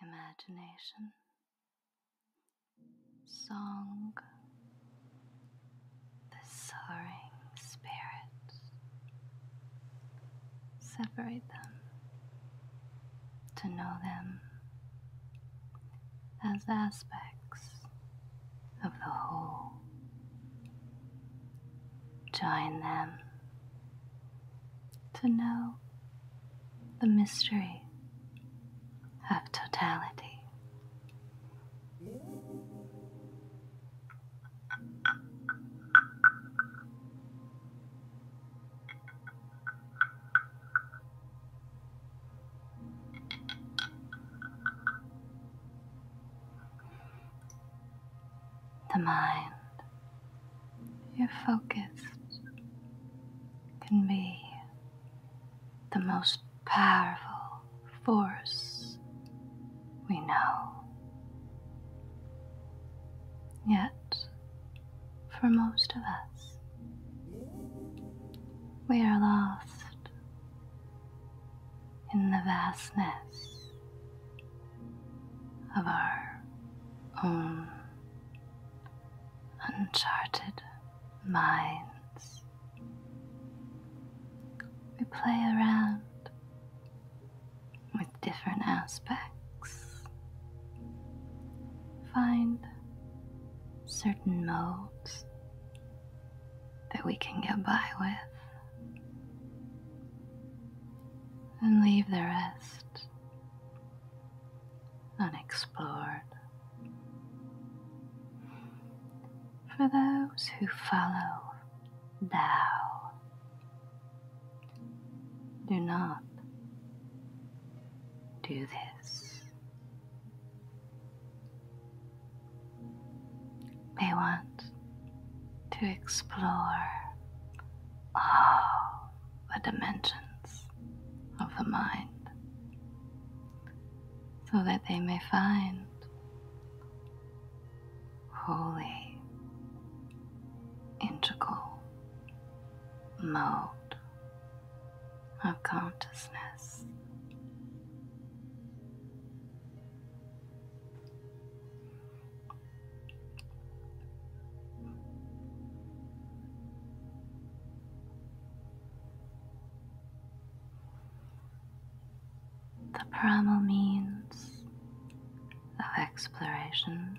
Imagination song, the soaring spirits. Separate them to know them as aspects of the whole. Join them to know the mystery of totality. The mind your focus can be the most powerful force we know. Yet, for most of us, we are lost in the vastness of our own uncharted minds. We play around with different aspects, find certain modes that we can get by with, and leave the rest unexplored. For those who follow thou do not do this. They want to explore all the dimensions of the mind so that they may find holy, integral mode of consciousness. The primal means of exploration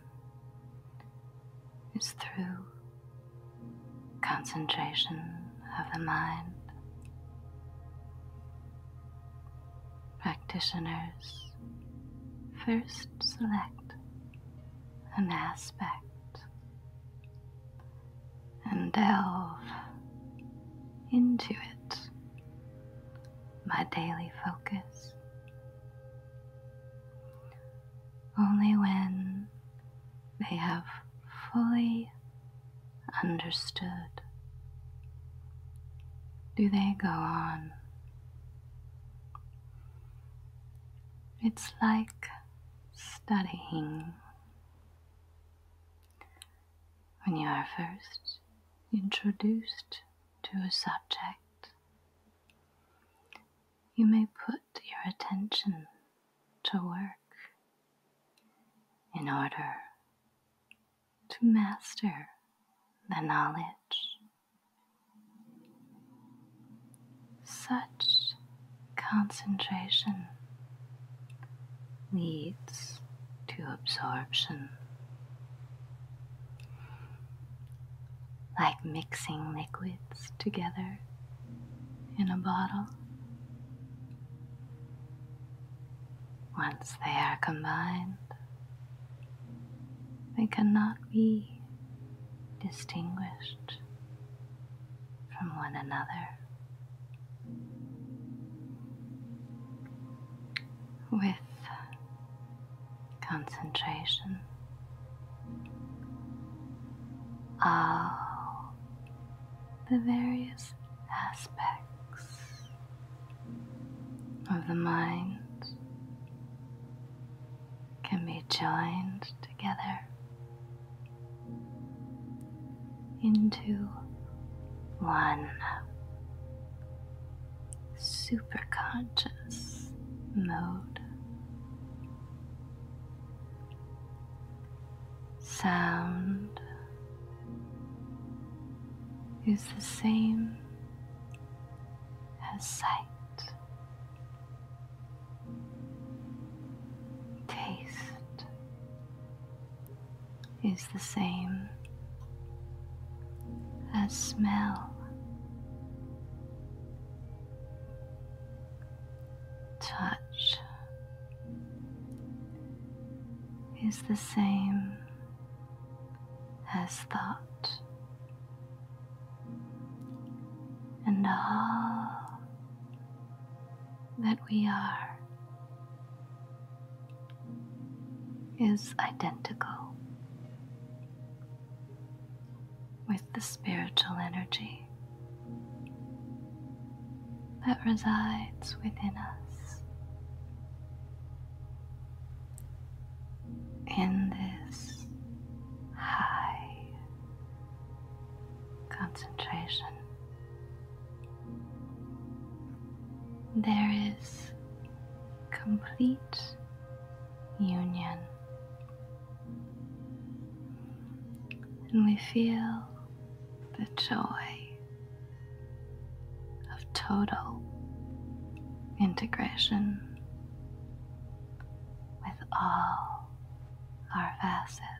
is through concentration of the mind. Practitioners first select an aspect and delve into it. My daily focus. Only when they have fully understood do they go on it's like studying. When you are first introduced to a subject, you may put your attention to work in order to master the knowledge. Such concentration leads to absorption. Like mixing liquids together in a bottle. Once they are combined, they cannot be distinguished from one another. With concentration, all the various aspects of the mind can be joined together into one superconscious mode. Sound is the same as sight, taste is the same as smell. Touch is the same as thought, and all that we are is identical with the spiritual energy that resides within us. In this high concentration, there is complete union, and we feel the joy of total integration with all our facets.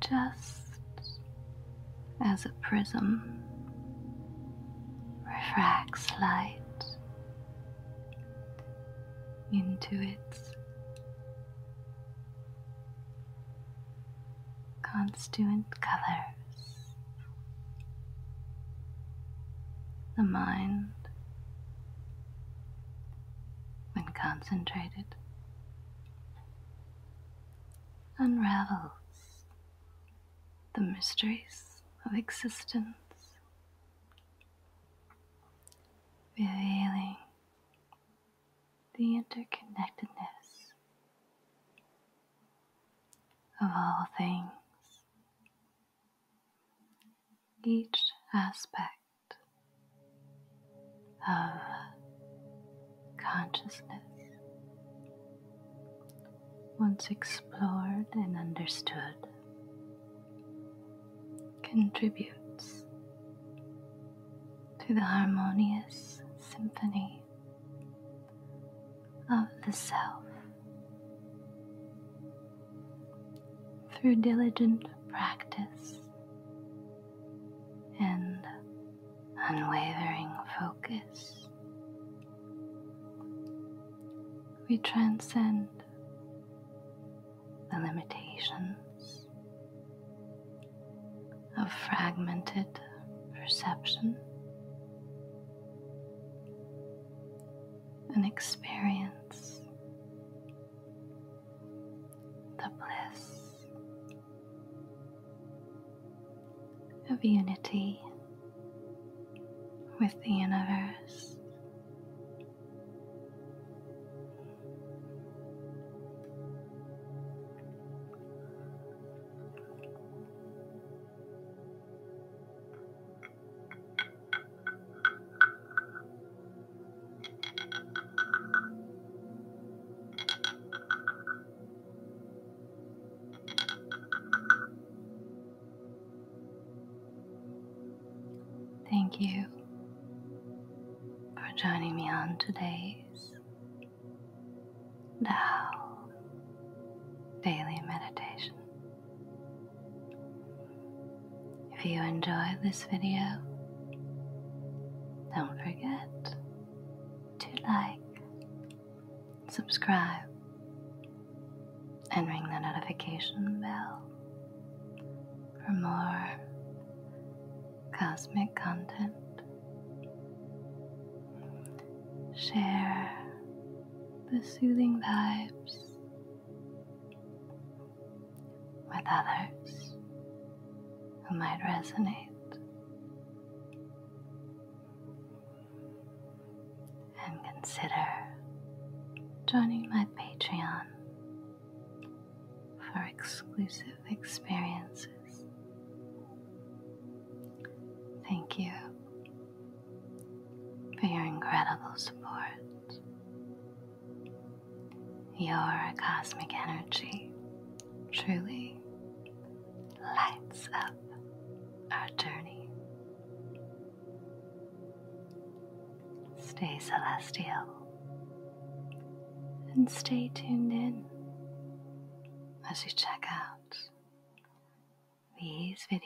Just as a prism refracts light into its constituent colors. The mind, when concentrated, unravels the mysteries of existence, revealing the interconnectedness of all things. Each aspect of consciousness, once explored and understood, contributes to the harmonious symphony of the self. Through diligent practice and unwavering focus, we transcend the limitations of fragmented perception, an experience the bliss of unity with the universe. Thank you for joining me on today's now, daily meditation. If you enjoyed this video, don't forget to like, subscribe, and ring the notification bell for more cosmic content. Share the soothing vibes with others who might resonate. And consider joining my Patreon for exclusive experiences Thank you for your incredible support. Your cosmic energy truly lights up our journey. Stay celestial and stay tuned in as you check out these videos.